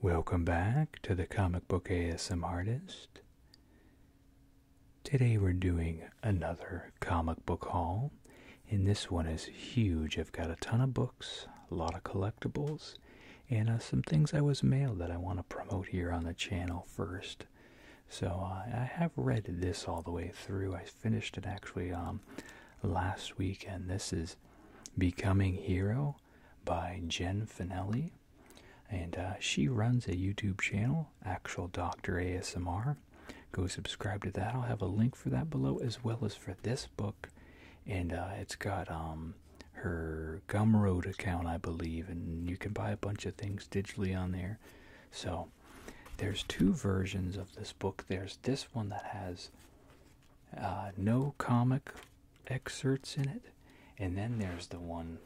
Welcome back to the Comic Book ASM Artist. Today we're doing another comic book haul, and this one is huge. I've got a ton of books, a lot of collectibles, and uh, some things I was mailed that I want to promote here on the channel first. So uh, I have read this all the way through. I finished it actually um, last week, and this is Becoming Hero by Jen Finelli, and uh, she runs a YouTube channel, Actual Doctor ASMR. Go subscribe to that. I'll have a link for that below, as well as for this book, and uh, it's got um her Gumroad account, I believe, and you can buy a bunch of things digitally on there. So there's two versions of this book. There's this one that has uh, no comic excerpts in it. And then there's the one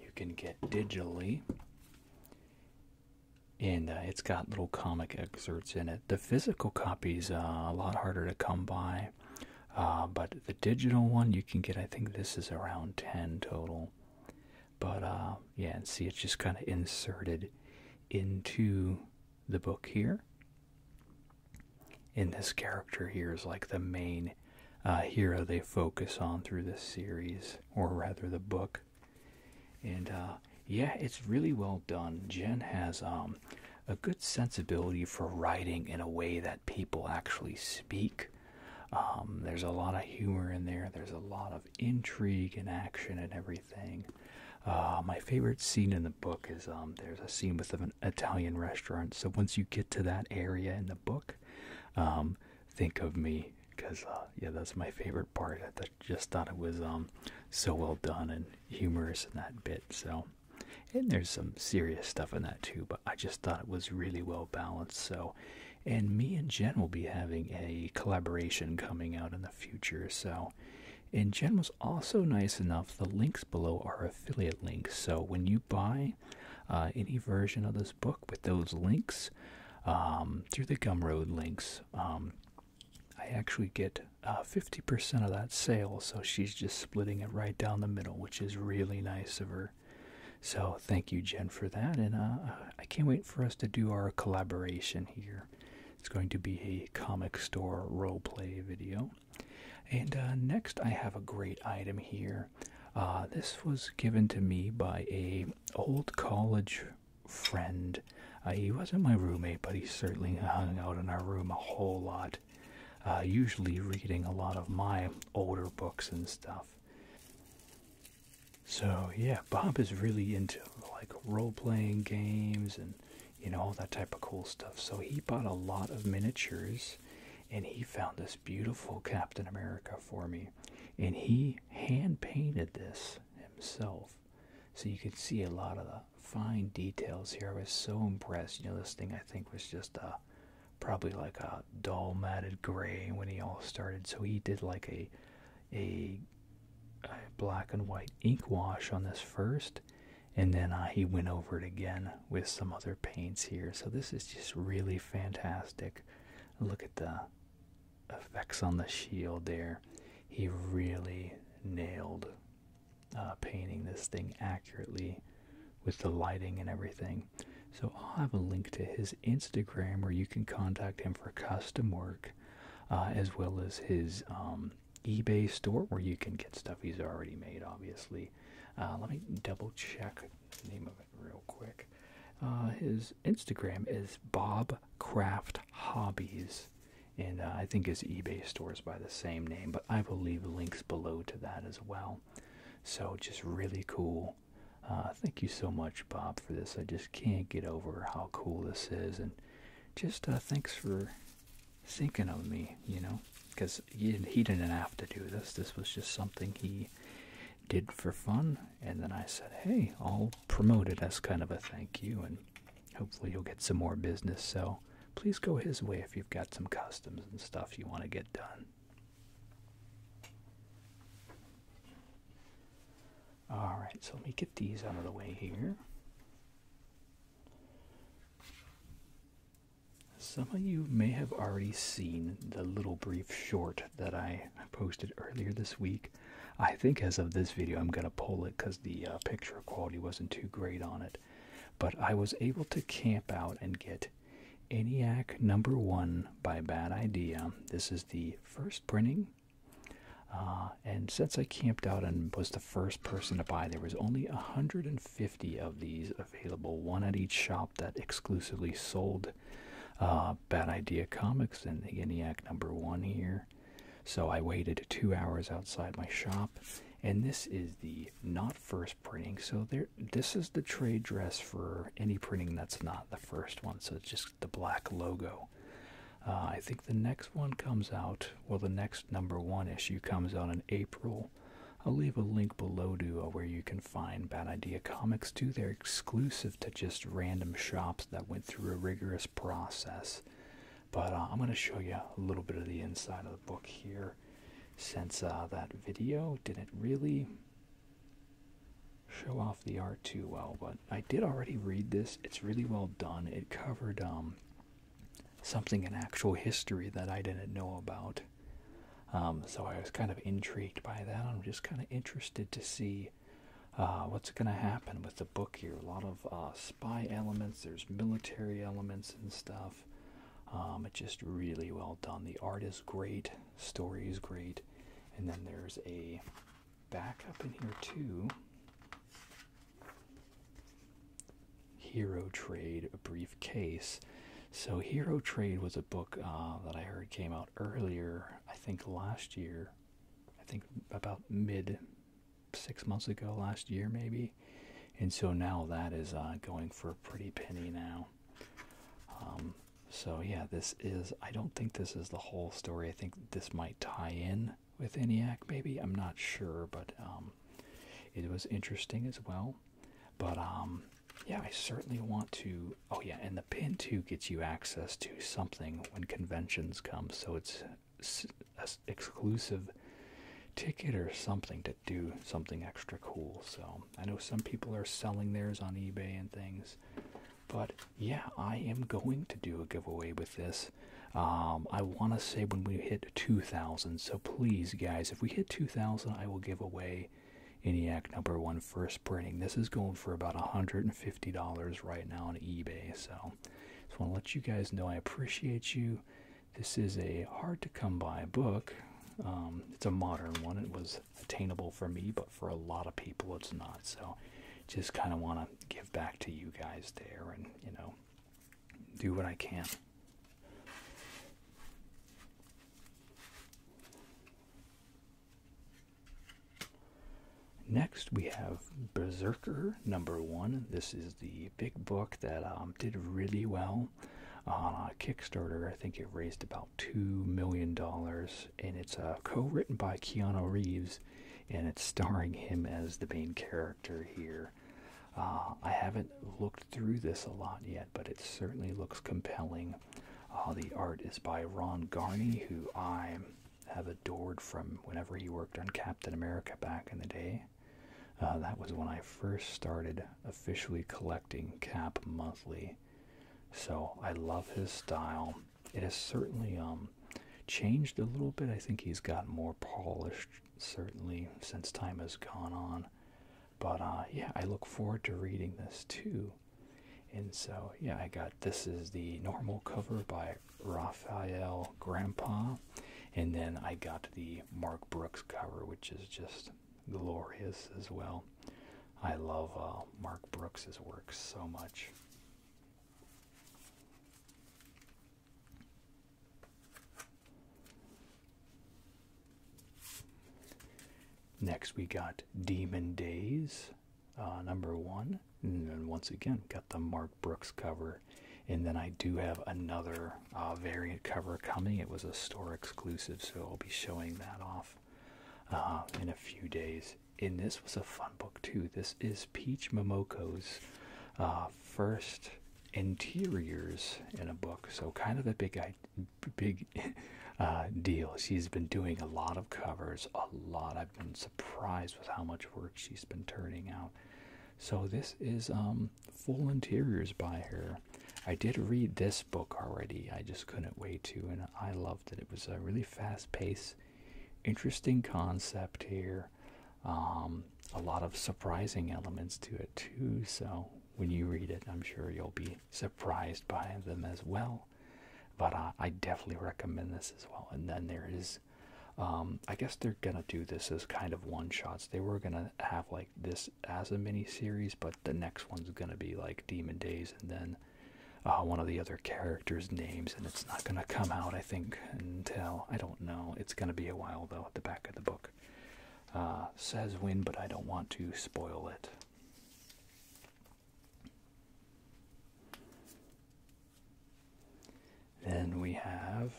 you can get digitally. And uh, it's got little comic excerpts in it. The physical copy's uh, a lot harder to come by, uh, but the digital one you can get. I think this is around ten total. But uh, yeah, and see, it's just kind of inserted into the book here in this character here is like the main uh, hero they focus on through this series, or rather the book. And uh, yeah, it's really well done. Jen has um, a good sensibility for writing in a way that people actually speak. Um, there's a lot of humor in there. There's a lot of intrigue and action and everything. Uh, my favorite scene in the book is um, there's a scene with an Italian restaurant. So once you get to that area in the book, um, think of me because uh, yeah, that's my favorite part. I just thought it was um, so well done and humorous in that bit. So and there's some serious stuff in that too, but I just thought it was really well balanced. So and me and Jen will be having a collaboration coming out in the future. So and Jen was also nice enough. The links below are affiliate links. So when you buy uh, any version of this book with those links, um, through the Gumroad links, um, I actually get 50% uh, of that sale. So she's just splitting it right down the middle, which is really nice of her. So thank you, Jen, for that. And uh, I can't wait for us to do our collaboration here. It's going to be a comic store role play video. And uh, next, I have a great item here. Uh, this was given to me by a old college friend. Uh, he wasn't my roommate, but he certainly hung out in our room a whole lot. usually reading a lot of my older books and stuff. So yeah, Bob is really into like role-playing games and you know, all that type of cool stuff. So he bought a lot of miniatures and he found this beautiful Captain America for me. And he hand painted this himself. So you can see a lot of the fine details here. I was so impressed. You know, this thing I think was just a uh, probably like a dull matted gray when he all started. So he did like a, a black and white ink wash on this first and then uh, he went over it again with some other paints here. So this is just really fantastic. Look at the effects on the shield there. He really nailed uh, painting this thing accurately with the lighting and everything. So I'll have a link to his Instagram where you can contact him for custom work, uh, as well as his um, eBay store where you can get stuff he's already made, obviously. Uh, let me double check the name of it real quick. Uh, his Instagram is Bob Craft Hobbies, and uh, I think his eBay store is by the same name, but I will leave links below to that as well. So, just really cool. thank you so much, Bob, for this. I just can't get over how cool this is, and just thanks for thinking of me, you know, because he, didn't have to do this. This was just something he did for fun. And then I said, hey, I'll promote it as kind of a thank you, and hopefully you'll get some more business. So please go his way if you've got some customs and stuff you want to get done. All right, so let me get these out of the way here. Some of you may have already seen the little brief short that I posted earlier this week. I think as of this video, I'm going to pull it because the uh, picture quality wasn't too great on it. But I was able to camp out and get ENIAC number one by Bad Idea. This is the first printing. Uh, and since I camped out and was the first person to buy, there was only 150 of these available, one at each shop that exclusively sold uh, Bad Idea Comics and the ENIAC number one here. So I waited two hours outside my shop, and this is the not first printing. So this is the trade dress for any printing that's not the first one. So it's just the black logo. Uh, I think the next one comes out, well, the next number one issue comes out in April. I'll leave a link below to uh, where you can find Bad Idea Comics too. They're exclusive to just random shops that went through a rigorous process. But uh, I'm going to show you a little bit of the inside of the book here since that video didn't really show off the art too well. But I did already read this. It's really well done. It covered um, something in actual history that I didn't know about. Um, so I was kind of intrigued by that. I'm just kind of interested to see uh, what's going to happen with the book here. A lot of uh, spy elements, there's military elements and stuff. Um, it's just really well done. The art is great, story is great, and then there's a backup in here too. Hero Trade, a briefcase. So Hero Trade was a book uh, that I heard came out earlier. I think last year. I think about mid six months ago last year maybe. And so now that is uh, going for a pretty penny now. Um, so yeah, this is. I don't think this is the whole story. I think this might tie in with ENIAC, maybe. I'm not sure, but um, it was interesting as well. But um, yeah, I certainly want to. Oh, yeah, and the pin too gets you access to something when conventions come, so it's an exclusive ticket or something to do something extra cool. So I know some people are selling theirs on eBay and things, but yeah, I am going to do a giveaway with this. Um, I want to say when we hit 2,000. So please, guys, if we hit 2,000, I will give away ENIAC number one first printing. This is going for about $150 right now on eBay. So just want to let you guys know I appreciate you. This is a hard to come by book. Um, it's a modern one. It was attainable for me, but for a lot of people, it's not. So just kind of want to give back to you guys there and, you know, do what I can. Next, we have Berserker number one. This is the big book that um, did really well on uh, Kickstarter. I think it raised about $2 million, and it's uh, co written by Keanu Reeves and it's starring him as the main character here. Uh, I haven't looked through this a lot yet, but it certainly looks compelling. Uh, the art is by Ron Garney, who I have adored from whenever he worked on Captain America back in the day. Uh, that was when I first started officially collecting Cap monthly. So I love his style. It is certainly um changed a little bit. I think he's got more polished, certainly, since time has gone on. But uh, yeah, I look forward to reading this too. And so, yeah, I got this is the normal cover by Raphael Grandpa. And then I got the Mark Brooks cover, which is just glorious as well. I love uh, Mark Brooks's work so much. Next, we got Demon Days, uh, number one. And once again, got the Mark Brooks cover. And then I do have another uh, variant cover coming. It was a store exclusive, so I'll be showing that off uh, in a few days. And this was a fun book, too. This is Peach Momoko's first interiors in a book, so kind of a big, big uh, deal. She's been doing a lot of covers, a lot. I've been surprised with how much work she's been turning out. So this is um, full interiors by her. I did read this book already. I just couldn't wait to, and I loved it. It was a really fast pace, interesting concept here. Um, a lot of surprising elements to it too. So when you read it, I'm sure you'll be surprised by them as well. But uh, I definitely recommend this as well. And then there is, um, I guess they're gonna do this as kind of one shots. They were gonna have like this as a mini series, but the next one's gonna be like Demon Days, and then uh, one of the other characters' names, and it's not gonna come out Think and tell. I don't know. It's going to be a while though. At the back of the book uh, says win, but I don't want to spoil it. Then we have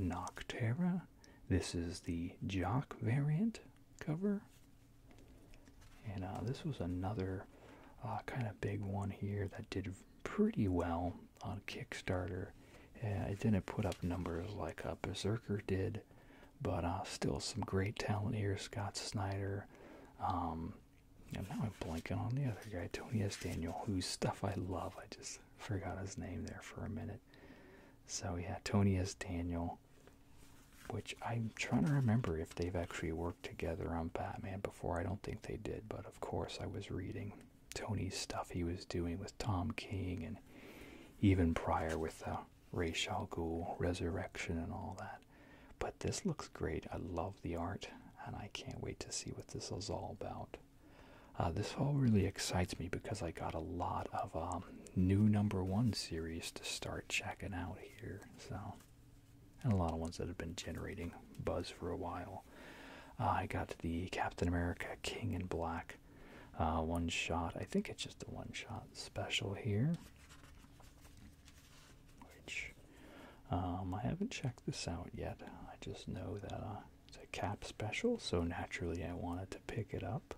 Noctera. This is the Jock variant cover. And uh, this was another uh, kind of big one here that did pretty well on Kickstarter. Eh, I didn't put up numbers like a Berserker did, but uh, still some great talent here. Scott Snyder. Um, and now I'm blanking on the other guy, Tony S. Daniel, whose stuff I love. I just forgot his name there for a minute. So yeah, Tony S. Daniel, which I'm trying to remember if they've actually worked together on Batman before. I don't think they did, but of course I was reading Tony's stuff he was doing with Tom King and even prior with uh, Ray Shal Ghul, Resurrection, and all that. But this looks great. I love the art, and I can't wait to see what this is all about. Uh, this all really excites me because I got a lot of um, new number one series to start checking out here. So and a lot of ones that have been generating buzz for a while. Uh, I got the Captain America King in Black uh, one shot. I think it's just a one shot special here, which um, I haven't checked this out yet. I just know that uh, it's a cap special, so naturally I wanted to pick it up.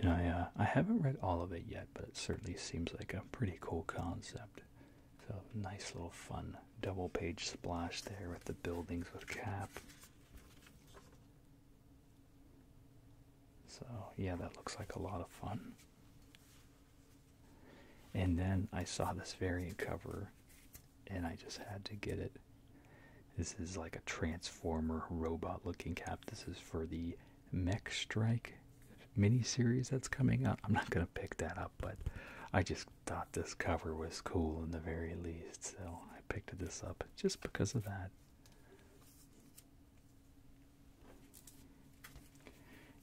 And I I haven't read all of it yet, but it certainly seems like a pretty cool concept. So nice little fun double page splash there with the buildings with cap. So yeah, that looks like a lot of fun. And then I saw this variant cover and I just had to get it. This is like a transformer robot looking cap. This is for the Mech Strike mini series that's coming up. I'm not gonna pick that up, but I just thought this cover was cool in the very least, so I picked this up just because of that.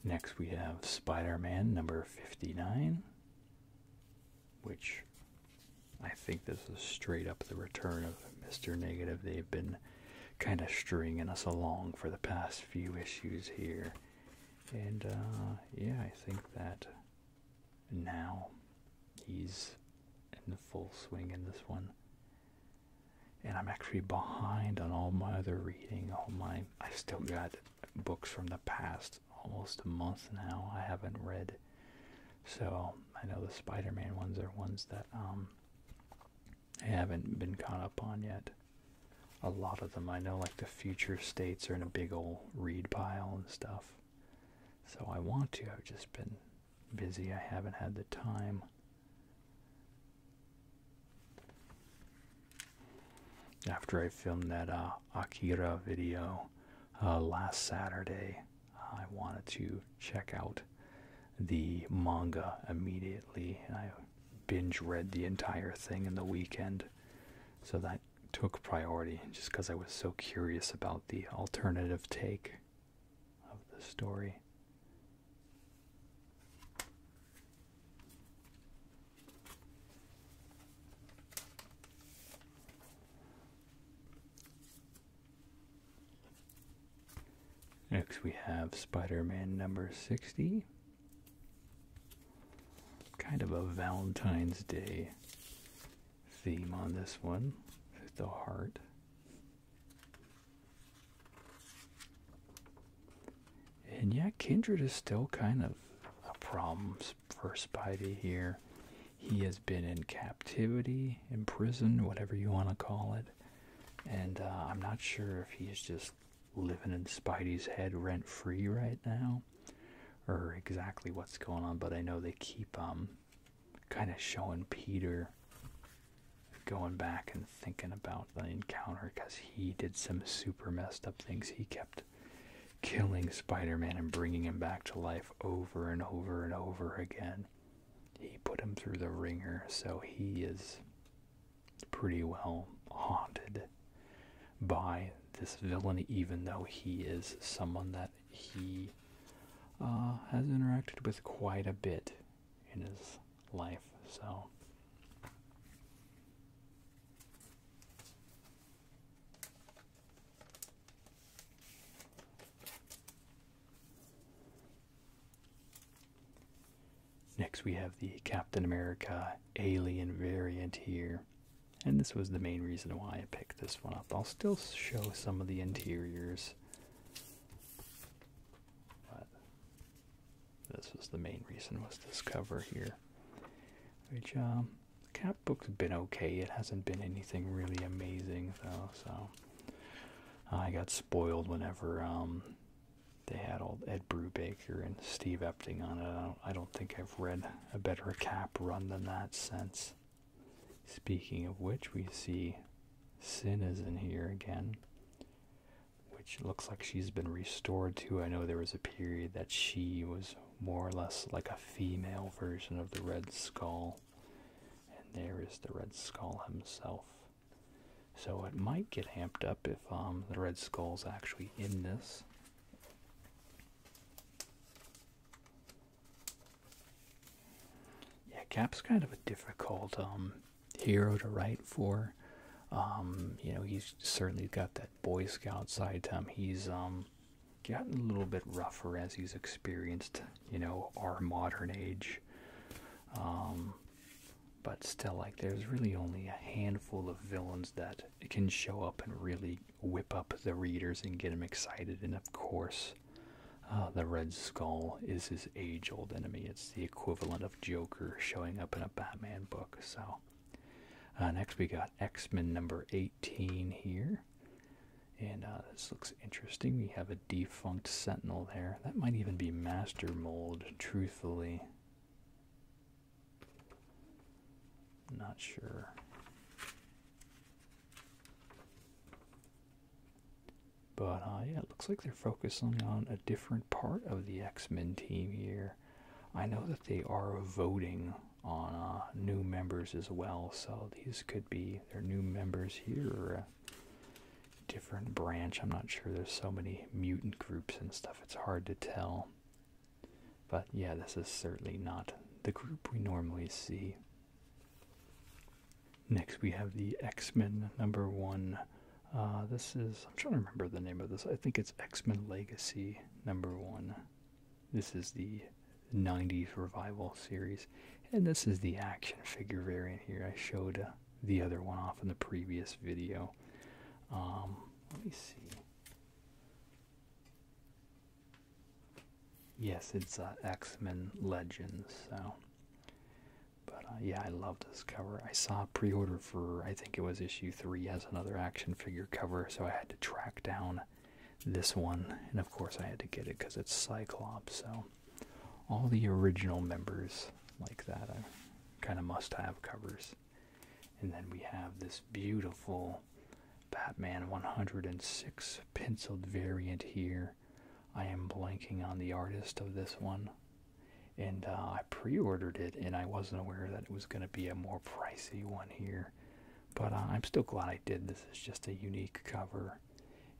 Next, we have Spider Man number 59, which I think this is straight up the return of Mr. Negative. They've been kind of stringing us along for the past few issues here. And uh, yeah, I think that now he's in the full swing in this one. And I'm actually behind on all my other reading. All my I still got books from the past almost a month now. I haven't read, so I know the Spider-Man ones are ones that um I haven't been caught up on yet. A lot of them I know, like the future states, are in a big old reed pile and stuff. So I want to. I've just been busy. I haven't had the time. After I filmed that uh, Akira video uh, last Saturday, I wanted to check out the manga immediately binge read the entire thing in the weekend. So that took priority just because I was so curious about the alternative take of the story. Next, we have Spider Man number 60. Kind of a Valentine's Day theme on this one with the heart. And yeah, Kindred is still kind of a problem for Spidey here. He has been in captivity, in prison, whatever you want to call it. And uh, I'm not sure if he's just living in Spidey's head rent free right now, or exactly what's going on. But I know they keep um, kind of showing Peter going back and thinking about the encounter because he did some super messed up things. He kept killing Spider-Man and bringing him back to life over and over and over again. He put him through the ringer, so he is pretty well haunted by this villain, even though he is someone that he uh, has interacted with quite a bit in his life. So. Next, we have the Captain America Alien variant here, and this was the main reason why I picked this one up. I'll still show some of the interiors, but this was the main reason was this cover here, which um, the cap book's been okay. It hasn't been anything really amazing though, so I got spoiled whenever um, they had old Ed Brubaker and Steve Epting on it. I don't think I've read a better cap run than that since. Speaking of which, we see Sin is in here again, which looks like she's been restored to. I know there was a period that she was more or less like a female version of the Red Skull. And there is the Red Skull himself. So it might get amped up if um, the Red Skull's actually in this. Yeah, Cap's kind of a difficult um, hero to write for. Um, you know, he's certainly got that Boy Scout side to him. He's gotten a little bit rougher as he's experienced, you know, our modern age but still like there's really only a handful of villains that can show up and really whip up the readers and get them excited and of course uh, the red skull is his age-old enemy it's the equivalent of joker showing up in a batman book so uh, next we got x-men number 18 here and uh, this looks interesting we have a defunct sentinel there that might even be master mold Truth truthfully not sure. But uh, yeah, it looks like they're focusing on a different part of the X Men team here. I know that they are voting on uh, new members as well, so these could be their new members here. Uh, different branch. I'm not sure. There's so many mutant groups and stuff. It's hard to tell. But yeah, this is certainly not the group we normally see. Next, we have the X Men number one. Uh, this is, I'm trying to remember the name of this. I think it's X Men Legacy number one. This is the 90s revival series. And this is the action figure variant here. I showed uh, the other one off in the previous video. Um, let me see. Yes, it's uh, X Men Legends. So, but uh, yeah, I love this cover. I saw pre-order for I think it was issue three as another action figure cover, so I had to track down this one, and of course I had to get it because it's Cyclops. So, all the original members like that kind of must have covers. And then we have this beautiful Batman 106 penciled variant here. I am blanking on the artist of this one. And uh, I pre ordered it, and I wasn't aware that it was going to be a more pricey one here. But uh, I'm still glad I did. This is just a unique cover.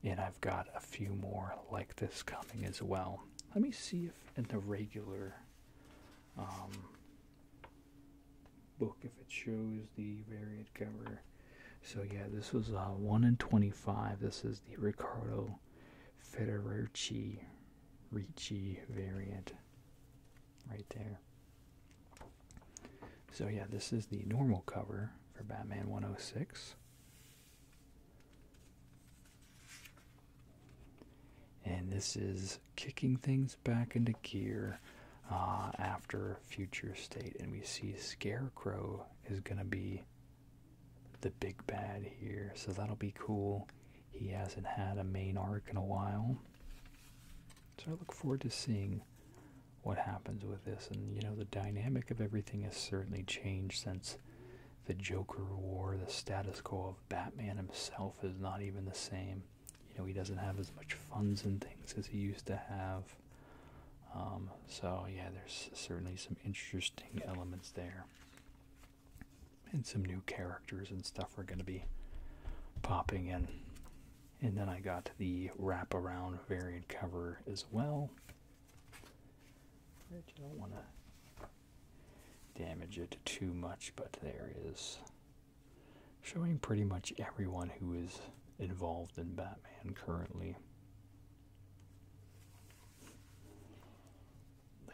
And I've got a few more like this coming as well let me see if in the regular um, book if it shows the variant cover. So yeah, this was uh, one in twenty-five. This is the Ricardo Federici Ricci variant, right there. So yeah, this is the normal cover for Batman one hundred oh six. And this is kicking things back into gear uh, after future state. And we see Scarecrow is going to be the big bad here. So that'll be cool. He hasn't had a main arc in a while. So I look forward to seeing what happens with this. And, you know, the dynamic of everything has certainly changed since the Joker War, the status quo of Batman himself is not even the same. You know, he doesn't have as much funds and things as he used to have. Um, so, yeah, there's certainly some interesting elements there. And some new characters and stuff are going to be popping in. And then I got the wraparound variant cover as well. Right, you don't want to damage it too much, but there is showing pretty much everyone who is involved in Batman currently.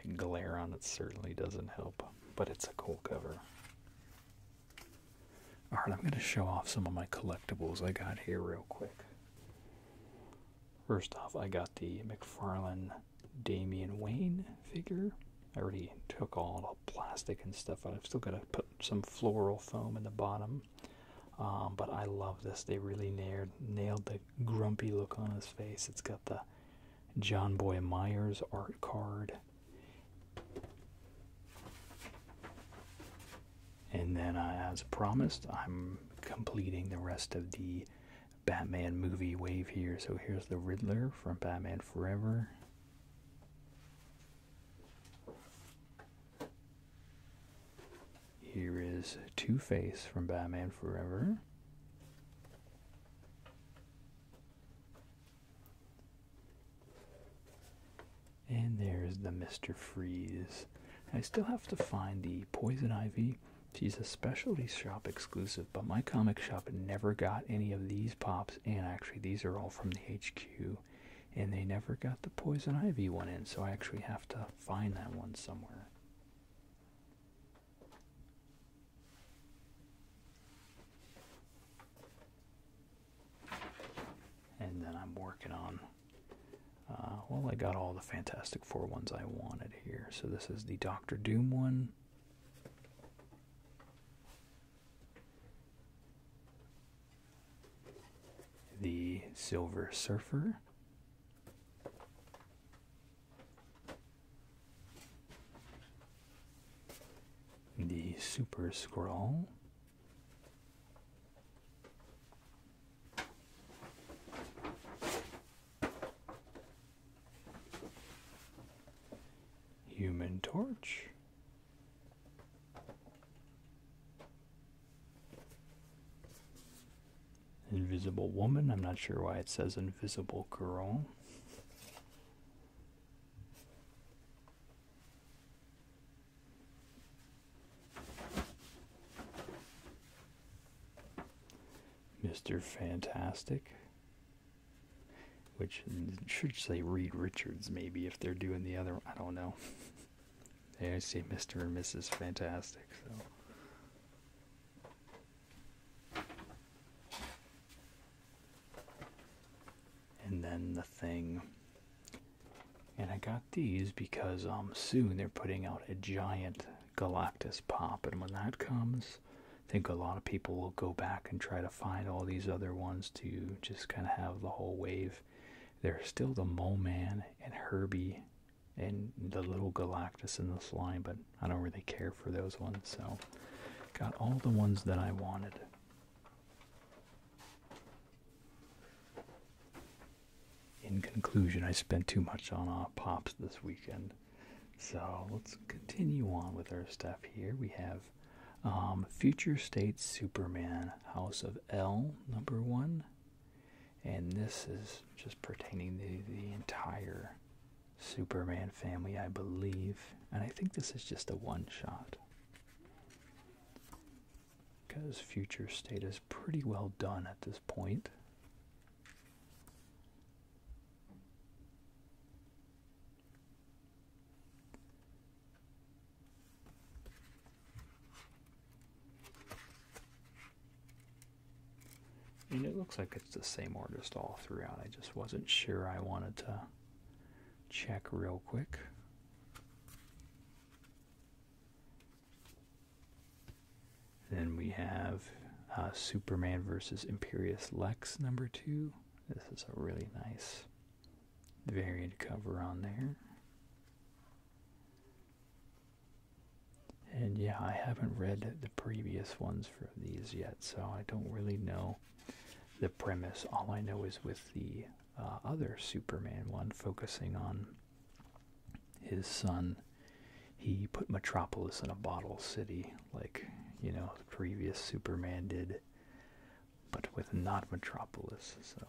The glare on it certainly doesn't help, but it's a cool cover. Alright, I'm going to show off some of my collectibles I got here real quick. First off, I got the McFarlane Damian Wayne figure. I already took all the plastic and stuff out. I've still got to put some floral foam in the bottom. Um, but I love this. They really nailed, the grumpy look on his face. It's got the John Boy Myers art card. And then, uh, as promised, I'm completing the rest of the Batman movie wave here. So here's the Riddler from Batman Forever. Here is Two Face from Batman Forever. And there's the Mr. Freeze. I still have to find the Poison Ivy She's a specialty shop exclusive, but my comic shop never got any of these pops. And actually, these are all from the HQ, and they never got the Poison Ivy one in, so I actually have to find that one somewhere. And then I'm working on uh, well, I got all the Fantastic Four ones I wanted here. So this is the Doctor Doom one. The Silver Surfer. The Super Scroll. Human Torch. Invisible Woman. I'm not sure why it says Invisible Girl. Mr. Fantastic, which should say Reed Richards maybe if they're doing the other. I don't know. they always say Mr. and Mrs. Fantastic, so. And then the thing and I got these because um, soon they're putting out a giant Galactus pop, and when that comes, I think a lot of people will go back and try to find all these other ones to just kind of have the whole wave. There's still the Mole Man and Herbie and the little Galactus in this line, but I don't really care for those ones, so got all the ones that I wanted in conclusion, I spent too much on uh, Pops this weekend. So let's continue on with our stuff here. We have um, Future State Superman House of L, number one. And this is just pertaining to the entire Superman family, I believe. And I think this is just a one shot because future state is pretty well done at this And it looks like it's the same artist all throughout. I just wasn't sure I wanted to check real quick. Then we have uh, Superman versus Imperious Lex number two. This is a really nice variant cover on there. And yeah, I haven't read the previous ones for these yet, so I don't really know the premise. All I know is with the uh, other Superman one, focusing on his son he put metropolis in a bottle city like you know previous superman did but with not metropolis so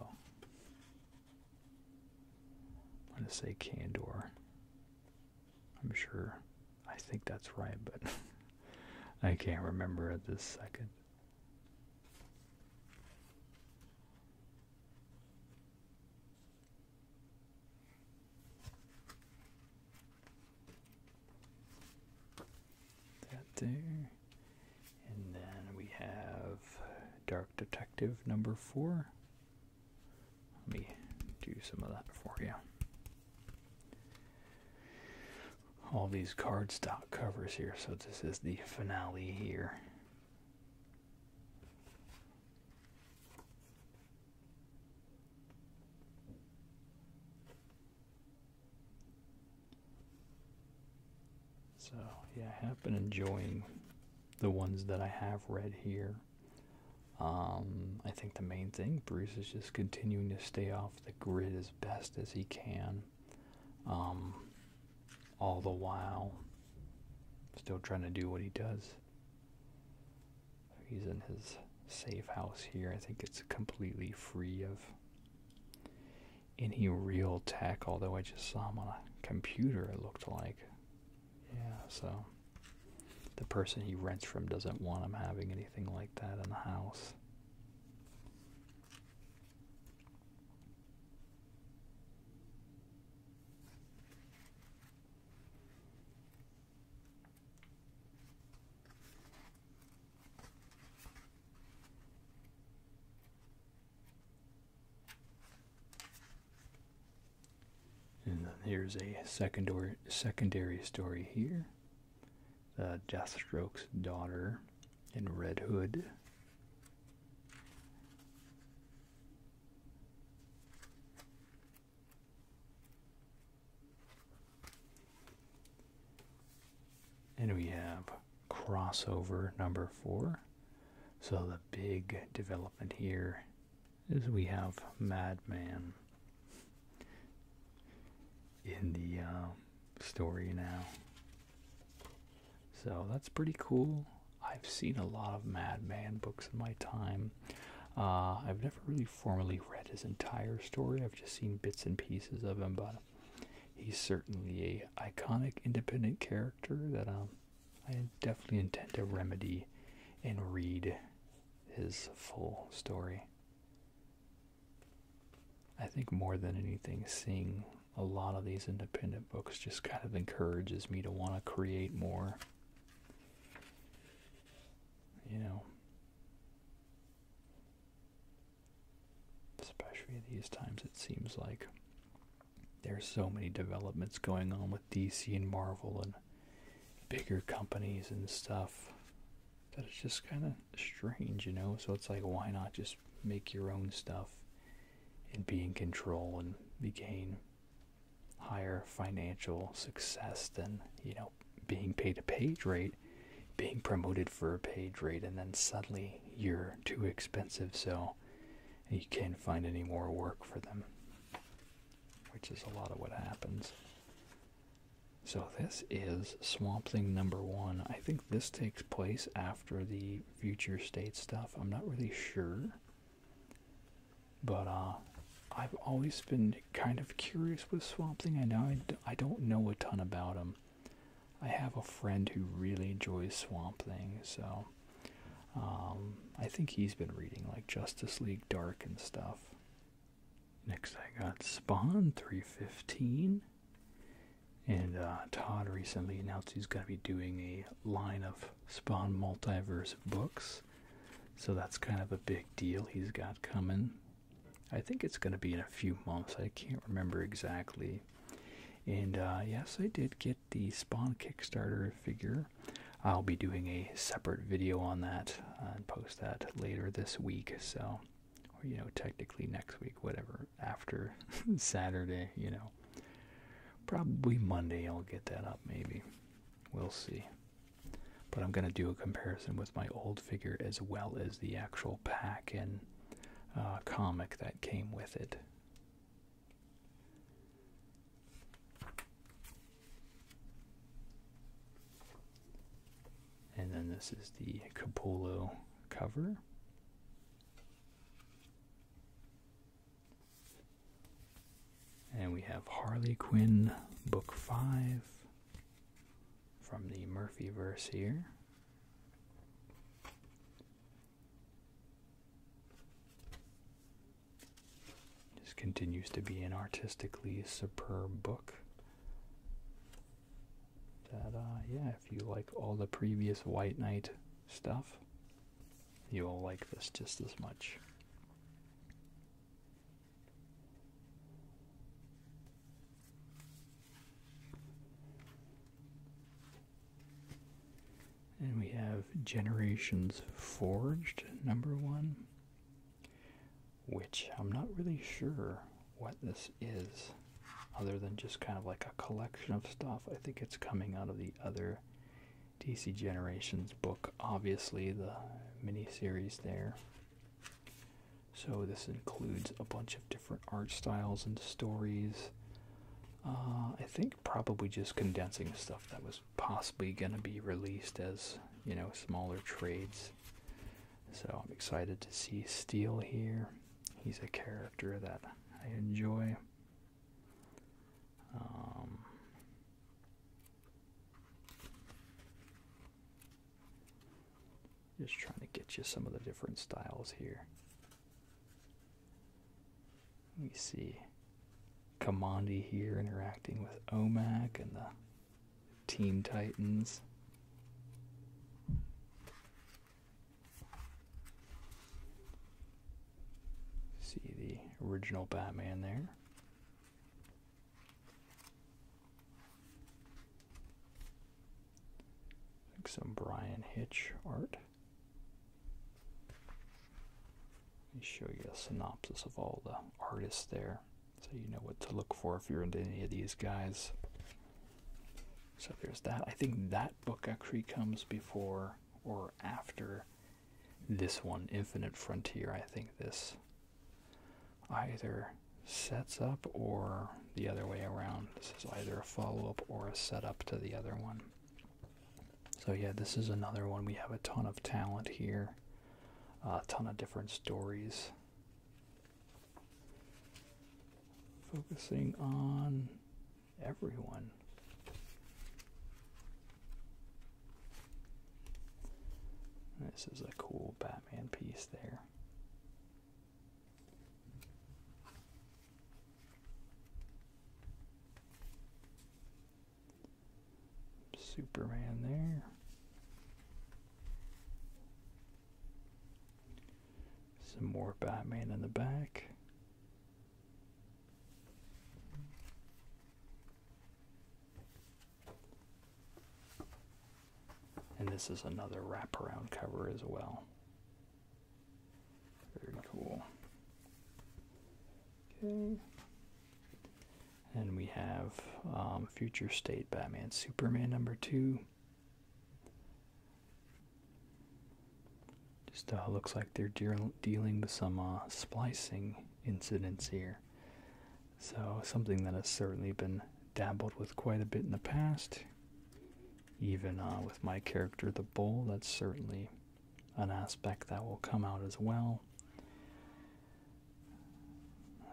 i'm going to say candor i'm sure i think that's right but i can't remember at this second that there. And then we have Dark Detective number four. Let me do some of that for you. All these cardstock covers here, so this is the finale here. So, yeah, I have been enjoying the ones that I have read here. Um, I think the main thing, Bruce is just continuing to stay off the grid as best as he can. Um, all the while still trying to do what he does. He's in his safe house here. I think it's completely free of any real tech, although I just saw him on a computer, it looked like. Yeah, so the person he rents from doesn't want him having anything like that in the house. And then here's a secondary secondary story here. The uh, Deathstroke's daughter and Red Hood and we have crossover number four. So the big development here is we have Madman in the uh, story now. So that's pretty cool. I've seen a lot of Madman books in my time. Uh, I've never really formally read his entire story. I've just seen bits and pieces of him, but he's certainly a iconic independent character that um, I definitely intend to remedy and read his full story. I think more than anything, seeing a lot of these independent books just kind of encourages me to want to create more. You know, especially these times, it seems like there's so many developments going on with DC and Marvel and bigger companies and stuff that it's just kind of strange, you know. So it's like, why not just make your own stuff? and be in control and be gain higher financial success than you know being paid a page rate being promoted for a page rate and then suddenly you're too expensive so you can't find any more work for them which is a lot of what happens so this is swamp thing number one i think this takes place after the future state stuff. I'm not really sure. But uh, I've always been kind of curious with Swamp Thing. I know I d I don't know a ton about him. I have a friend who really enjoys Swamp Thing, so um, I think he's been reading like Justice League Dark and stuff. Next, I got Spawn 315. And uh, Todd recently announced he's going to be doing a line of Spawn Multiverse books. So that's kind of a big deal he's got coming. I think it's going to be in a few months. I can't remember exactly. And uh, yes, I did get the Spawn Kickstarter figure. I'll be doing a separate video on that uh, and post that later this week. So, or you know, technically next week, whatever after Saturday, you know. Probably Monday I'll get that up, maybe. We'll see. But I'm going to do a comparison with my old figure as well as the actual pack and uh, comic that came with it. And then this is the Capullo cover. And we have Harley Quinn, Book 5 from the Murphy verse here. This continues to be an artistically superb book. That, uh, yeah, if you like all the previous White Knight stuff, you will like this just as much. And we have Generations Forged, number one, which I'm not really sure what this is other than just kind of like a collection of stuff. I think it's coming out of the other DC Generations book, obviously, the miniseries there. So, this includes a bunch of different art styles and stories. Uh, I think probably just condensing stuff that was possibly going to be released as, you know, smaller trades. So I'm excited to see Steel here. He's a character that I enjoy. Um, just trying to get you some of the different styles here. Let me see Kamandi here interacting with OMAC and the Teen Titans. See the original Batman there. some Brian Hitch art. Let me show you a synopsis of all the artists there so you know what to look for if you're into any of these guys. So there's that. I think that book actually comes before or after this one, Infinite Frontier. I think this either sets up or the other way around. This is either a follow up or a setup to the other one. So, yeah, this is another one. We have a ton of talent here, a ton of different stories. Focusing on everyone. This is a cool Batman piece there. Superman there. Some more Batman in the back. And this is another wraparound cover as well. Very cool. Okay. And we have um, Future State Batman Superman number two. Just looks like they're dealing with some uh, splicing incidents here. So, something that has certainly been dabbled with quite a bit in the past. Even uh, with my character, the bull, that's certainly an aspect that will come out as well.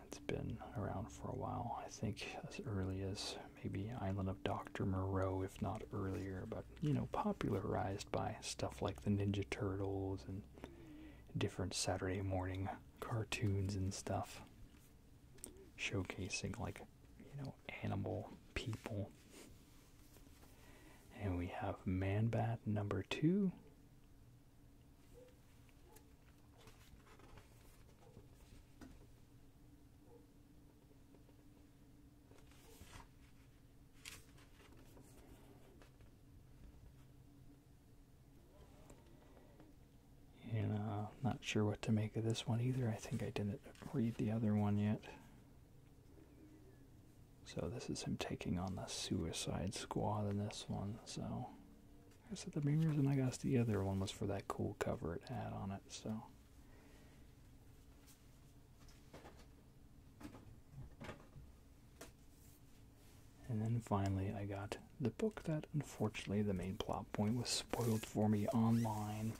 It's been around for a while, I think as early as maybe Island of Dr. Moreau, if not earlier, but you know, popularized by stuff like the Ninja Turtles and different Saturday morning cartoons and stuff, showcasing like you know, animal people. And we have Manbat number two. And uh, not sure what to make of this one either. I think I didn't read the other one yet. So this is him taking on the Suicide Squad in this one. So like I said the main reason I got the other one was for that cool cover it had on it. So. And then finally, I got the book that unfortunately the main plot point was spoiled for me online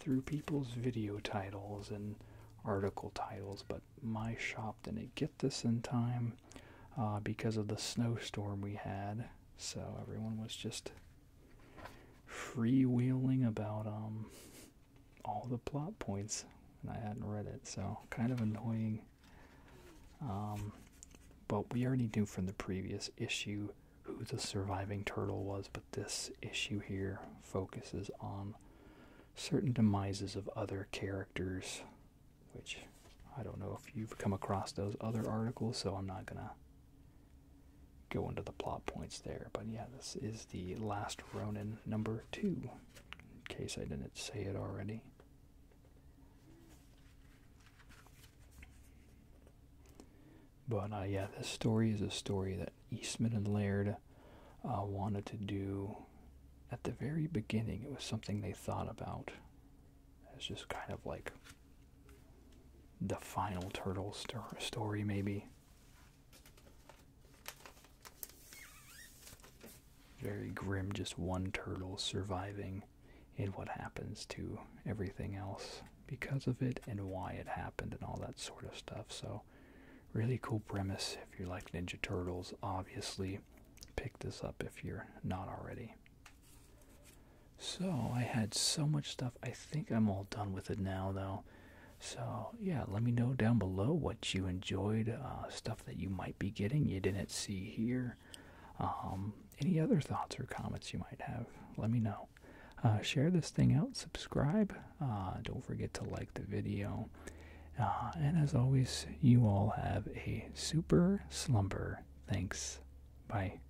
through people's video titles and article titles, but my shop didn't get this in time uh, because of the snowstorm we had. So everyone was just freewheeling about um all the plot points and I hadn't read it, so kind of annoying. Um but we already knew from the previous issue who the surviving turtle was, but this issue here focuses on certain demises of other characters, which I don't know if you've come across those other articles, so I'm not gonna go into the plot points there. But yeah, this is the last Ronin number two, in case I didn't say it already. But uh, yeah, this story is a story that Eastman and Laird uh, wanted to do at the very beginning. It was something they thought about. It's just kind of like the final turtle story, maybe. Very grim, just one turtle surviving, and what happens to everything else because of it, and why it happened, and all that sort of stuff. So, really cool premise if you like Ninja Turtles. Obviously, pick this up if you're not already. So I had so much stuff. I think I'm all done with it now, though. So yeah, let me know down below what you enjoyed, uh, stuff that you might be getting you didn't see here. Um, any other thoughts or comments you might have, let me know. Uh, share this thing out, subscribe. Uh, don't forget to like the video. and as always, you all have a super slumber. Thanks. Bye.